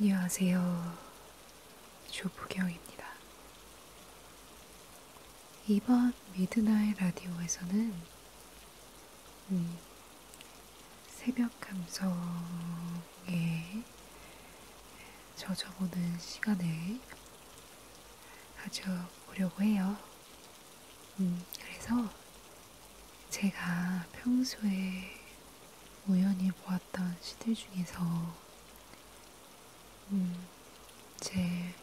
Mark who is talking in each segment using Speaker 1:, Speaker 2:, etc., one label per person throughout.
Speaker 1: 안녕하세요. 조부경입니다. 이번 미드나잇 라디오에서는 음, 새벽 감성에 젖어보는 시간을 가져보려고 해요. 음, 그래서 제가 평소에 우연히 보았던 시들 중에서 음, 제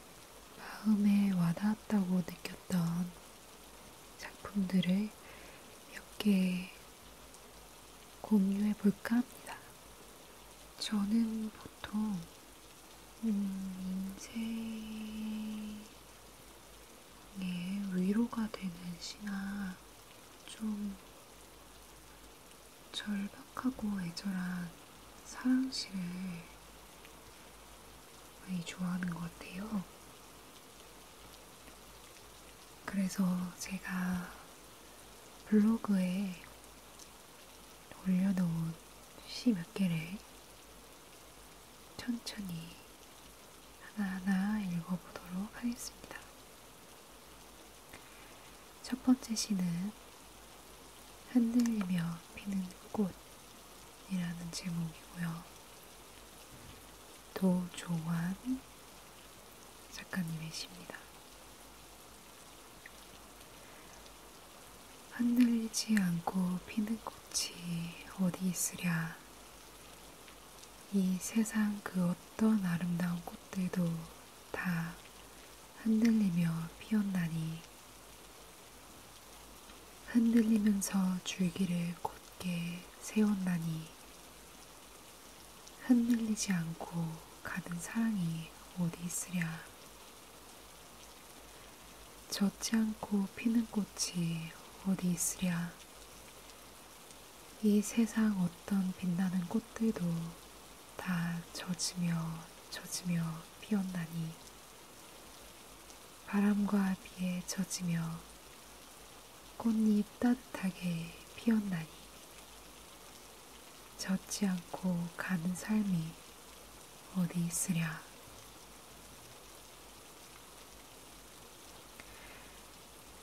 Speaker 1: 마음에 와닿았다고 느꼈던 작품들을 몇 개 공유해 볼까 합니다. 저는 보통 음, 인생 예, 위로가 되는 시나 좀 절박하고 애절한 사랑시를 많이 좋아하는 것 같아요. 그래서 제가 블로그에 올려놓은 시 몇 개를 천천히 하나하나 읽어보도록 하겠습니다. 첫 번째 시는 흔들리며 피는 꽃이라는 제목이고요. 도조환 작가님의 시입니다. 흔들리지 않고 피는 꽃이 어디 있으랴. 이 세상 그 어떤 아름다운 꽃들도 다 흔들리며 피었나니 흔들리면서 줄기를 곧게 세웠나니 흔들리지 않고 가는 사랑이 어디 있으랴 젖지 않고 피는 꽃이 어디 있으랴. 이 세상 어떤 빛나는 꽃들도 다 젖으며 젖으며 피었나니 바람과 비에 젖으며 꽃잎 따뜻하게 피었나니 젖지 않고 가는 삶이 어디 있으랴.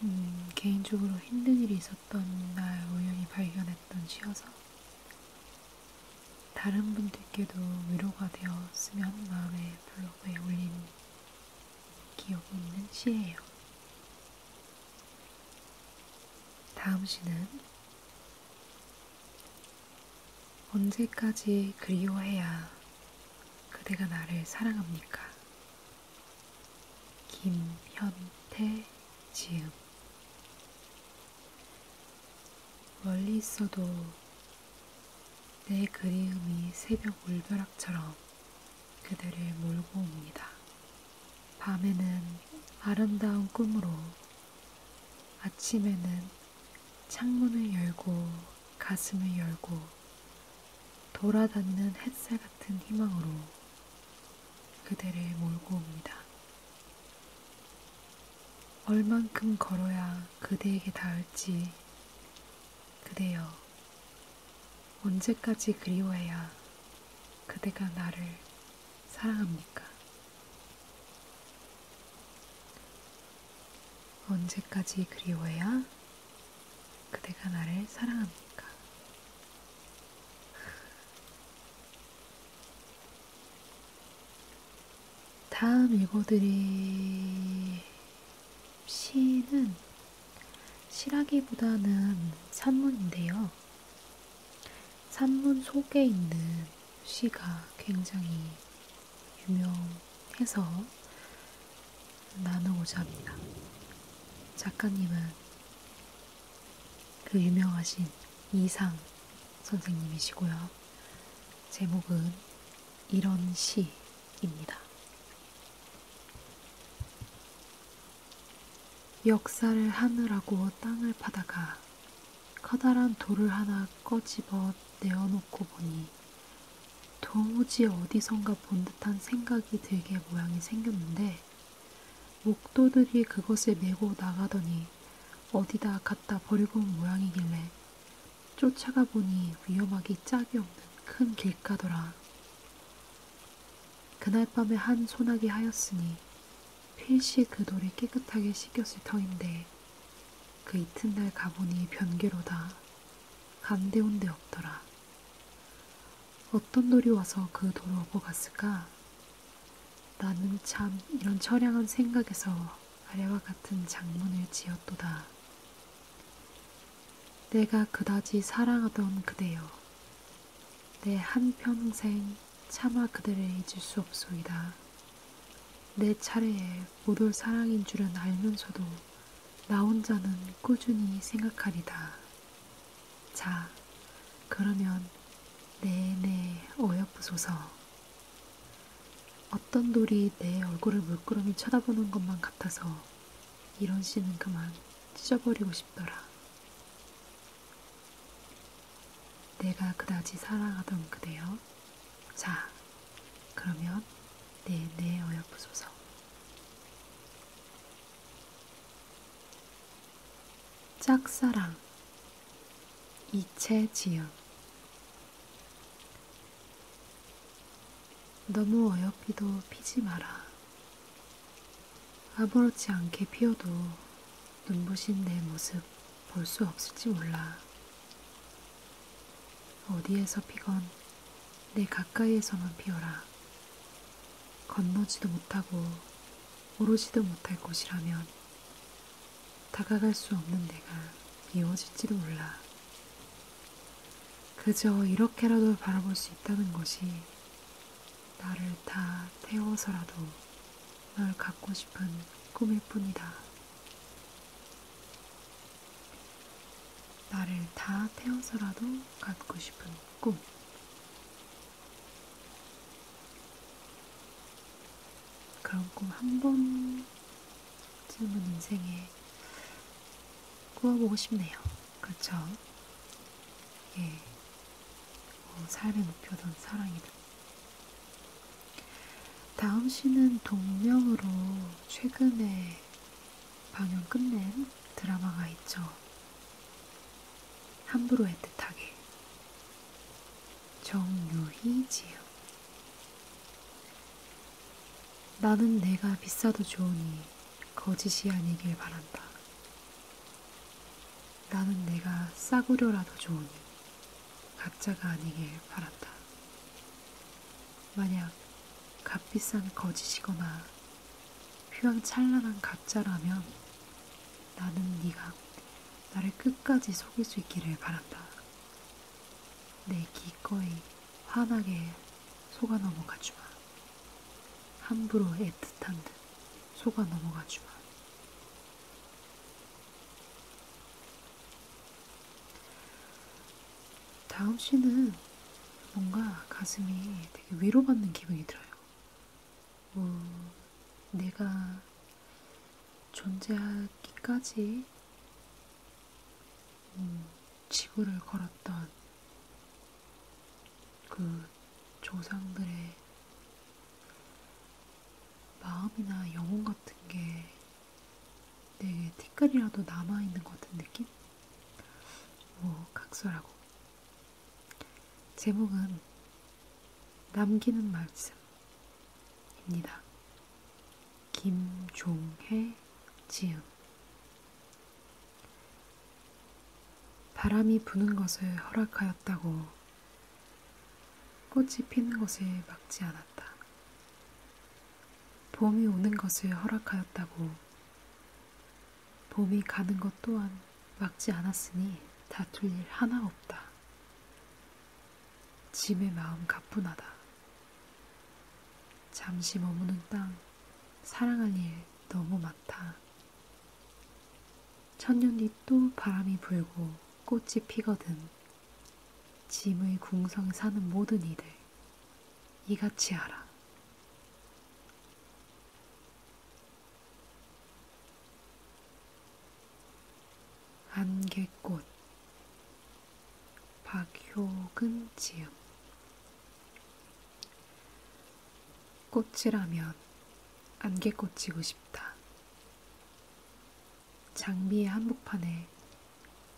Speaker 1: 음, 개인적으로 힘든 일이 있었던 날 우연히 발견했던 시여서 다른 분들께도 위로가 되었으면 하는 마음에 블로그에 올린 기억이 있는 시예요. 다음 시는 언제까지 그리워해야 그대가 나를 사랑합니까? 김현태 지음 멀리 있어도 내 그리움이 새벽 울벼락처럼 그대를 몰고 옵니다. 밤에는 아름다운 꿈으로 아침에는 창문을 열고 가슴을 열고 돌아다니는 햇살 같은 희망으로 그대를 몰고 옵니다. 얼만큼 걸어야 그대에게 닿을지 그대여 언제까지 그리워해야 그대가 나를 사랑합니까? 언제까지 그리워야 그대가 나를 사랑합니까? 다음 읽어드릴 시는 시라기보다는 산문인데요. 산문 속에 있는 시가 굉장히 유명해서 나누고자 합니다. 작가님은 그 유명하신 이상 선생님이시고요. 제목은 이런 시입니다. 역사를 하늘하고 땅을 파다가 커다란 돌을 하나 꺼집어 내어놓고 보니 도무지 어디선가 본 듯한 생각이 들게 모양이 생겼는데 목도들이 그것을 메고 나가더니 어디다 갖다 버리고 온 모양이길래 쫓아가 보니 위험하기 짝이 없는 큰 길가더라. 그날 밤에 한 소나기 하였으니 필시 그 돌이 깨끗하게 씻겼을 터인데 그 이튿날 가보니 변개로다 간데온 데 없더라. 어떤 돌이 와서 그 돌을 오고 갔을까? 나는 참 이런 처량한 생각에서 아래와 같은 장문을 지었도다. 내가 그다지 사랑하던 그대여, 내 한평생 차마 그대를 잊을 수 없소이다. 내 차례에 못 올 사랑인 줄은 알면서도 나 혼자는 꾸준히 생각하리다. 자, 그러면 내내 네, 네, 어여쁘소서. 어떤 돌이 내 얼굴을 물끄러미 쳐다보는 것만 같아서 이런 씨는 그만 찢어버리고 싶더라. 내가 그다지 사랑하던 그대여. 자, 그러면 내내 어여쁘소서. 짝사랑 이채지음 너무 어여삐도 피지 마라. 아무렇지 않게 피어도 눈부신 내 모습 볼 수 없을지 몰라. 어디에서 피건 내 가까이에서만 피어라. 건너지도 못하고 오르지도 못할 곳이라면 다가갈 수 없는 내가 미워질지도 몰라. 그저 이렇게라도 바라볼 수 있다는 것이 나를 다 태워서라도 널 갖고 싶은 꿈일 뿐이다. 나를 다 태워서라도 갖고 싶은 꿈. 그런 꿈 한 번쯤은 인생에 꾸어보고 싶네요. 그렇죠? 예, 어, 삶의 목표던 사랑이다. 다음 시는 동명으로 최근에 방영 끝낸 드라마가 있죠. 함부로 애틋하게. 정유희 지요. 나는 내가 비싸도 좋으니 거짓이 아니길 바란다. 남은 내가 싸구려라도 좋으니 가짜가 아니길 바란다. 만약 값비싼 거짓이거나 휘황찬란한 가짜라면 나는 네가 나를 끝까지 속일 수 있기를 바란다. 내 기꺼이 환하게 속아 넘어가주마. 함부로 애틋한 듯 속아 넘어가지만 다음 시는 뭔가 가슴이 되게 위로받는 기분이 들어요. 뭐 내가 존재하기까지 음, 지구를 걸었던 그 조상들의 마음이나 영혼 같은 게 되게 티끌이라도 남아있는 것 같은 느낌? 뭐, 각설하고. 제목은 남기는 말씀입니다. 김종혜 지음 바람이 부는 것을 허락하였다고 꽃이 피는 것을 막지 않았다. 봄이 오는 것을 허락하였다고 봄이 가는 것 또한 막지 않았으니 다툴 일 하나 없다. 짐의 마음 가뿐하다. 잠시 머무는 땅 사랑할 일 너무 많다. 천년이 또 바람이 불고 꽃이 피거든. 짐의 궁성에 사는 모든 이들, 이같이 하라. 안개꽃 박효근 지음 꽃이라면 안개꽃이고 싶다. 장미의 한복판에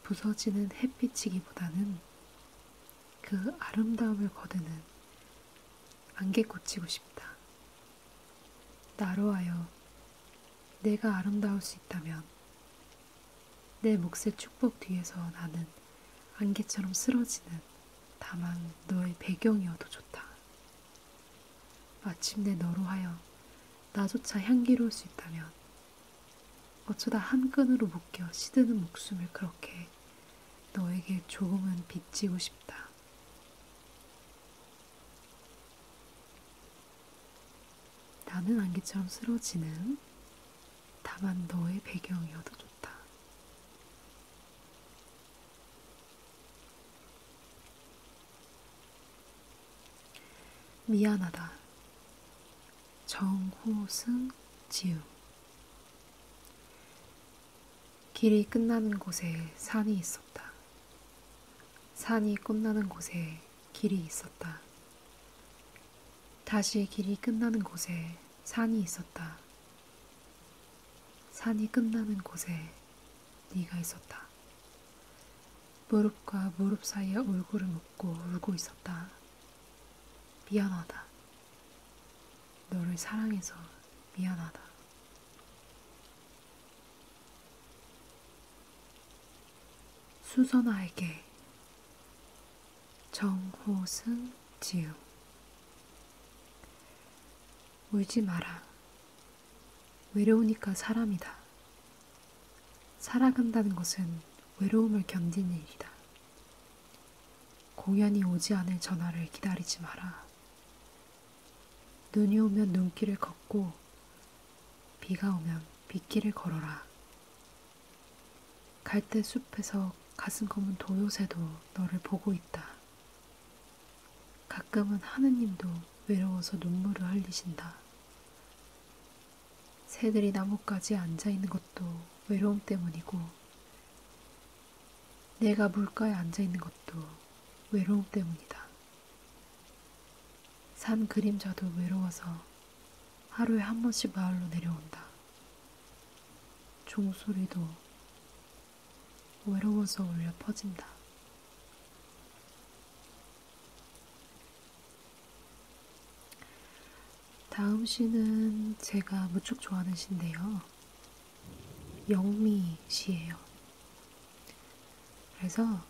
Speaker 1: 부서지는 햇빛이기보다는 그 아름다움을 거두는 안개꽃이고 싶다. 나로 하여 내가 아름다울 수 있다면 내 몫의 축복 뒤에서 나는 안개처럼 쓰러지는 다만 너의 배경이어도 좋다. 마침내 너로 하여 나조차 향기로울 수 있다면 어쩌다 한 끈으로 묶여 시드는 목숨을 그렇게 너에게 조금은 빚지고 싶다. 나는 안개처럼 쓰러지는 다만 너의 배경이어도 좋다. 미안하다. 정호승 지음 길이 끝나는 곳에 산이 있었다. 산이 끝나는 곳에 길이 있었다. 다시 길이 끝나는 곳에 산이 있었다. 산이 끝나는 곳에 네가 있었다. 무릎과 무릎 사이에 얼굴을 묻고 울고 있었다. 미안하다. 너를 사랑해서 미안하다. 수선아에게 정호승 지음 울지 마라. 외로우니까 사람이다. 살아간다는 것은 외로움을 견디는 일이다. 공연이 오지 않을 전화를 기다리지 마라. 눈이 오면 눈길을 걷고, 비가 오면 빗길을 걸어라. 갈대 숲에서 가슴 검은 도요새도 너를 보고 있다. 가끔은 하느님도 외로워서 눈물을 흘리신다. 새들이 나뭇가지에 앉아있는 것도 외로움 때문이고, 내가 물가에 앉아있는 것도 외로움 때문이다. 산 그림자도 외로워서 하루에 한 번씩 마을로 내려온다. 종소리도 외로워서 울려 퍼진다. 다음 시는 제가 무척 좋아하는 시인데요. 영미 시예요. 그래서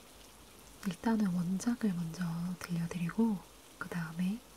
Speaker 1: 일단은 원작을 먼저 들려드리고 그 다음에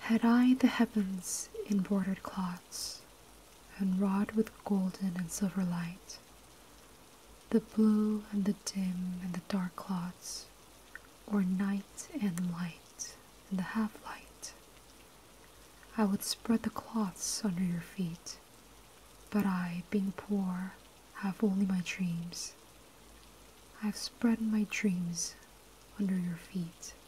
Speaker 1: Had I the heavens in bordered cloths, and wrought with golden and silver light, the blue and the dim and the dark cloths, or night and light and the half light, I would spread the cloths under your feet, but I, being poor, have only my dreams. I have spread my dreams under your feet.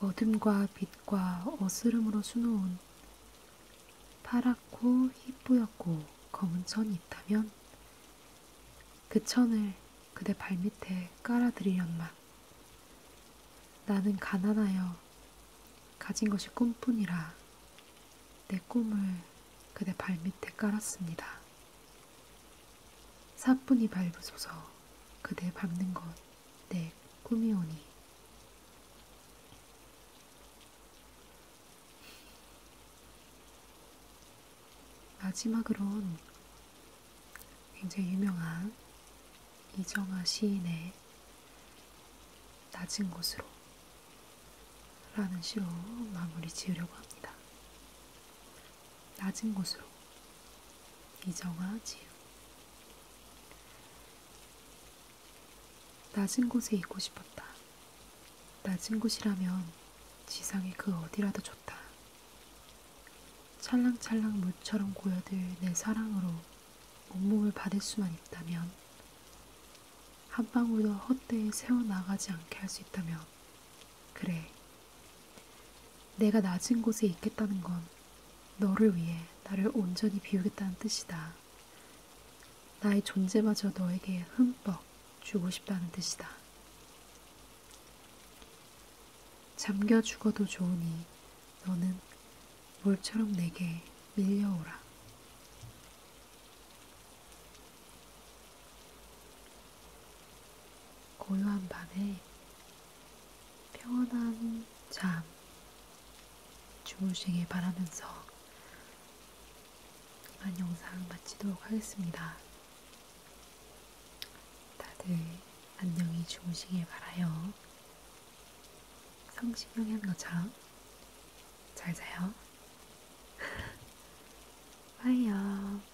Speaker 1: 어둠과 빛과 어스름으로 수놓은 파랗고 희뿌옇고 검은 천이 있다면 그 천을 그대 발밑에 깔아드리련만 나는 가난하여 가진 것이 꿈뿐이라 내 꿈을 그대 발밑에 깔았습니다. 사뿐히 밟으소서 그대 밟는 것내 꿈이오니. 마지막으론 굉장히 유명한 이정아 시인의 낮은 곳으로 라는 시로 마무리 지으려고 합니다. 낮은 곳으로 이정아 지우 낮은 곳에 있고 싶었다. 낮은 곳이라면 지상의 그 어디라도 좋다. 찰랑찰랑 물처럼 고여들 내 사랑으로 온몸을 받을 수만 있다면, 한 방울도 헛되이 새어나가지 않게 할 수 있다면, 그래, 내가 낮은 곳에 있겠다는 건 너를 위해 나를 온전히 비우겠다는 뜻이다. 나의 존재마저 너에게 흠뻑 주고 싶다는 뜻이다. 잠겨 죽어도 좋으니 너는 물처럼 내게 밀려오라. 고요한 밤에 평온한 잠 주무시길 바라면서 이만 영상 마치도록 하겠습니다. 다들 안녕히 주무시길 바라요. 성신영양과처럼 잘 자요. 바이요.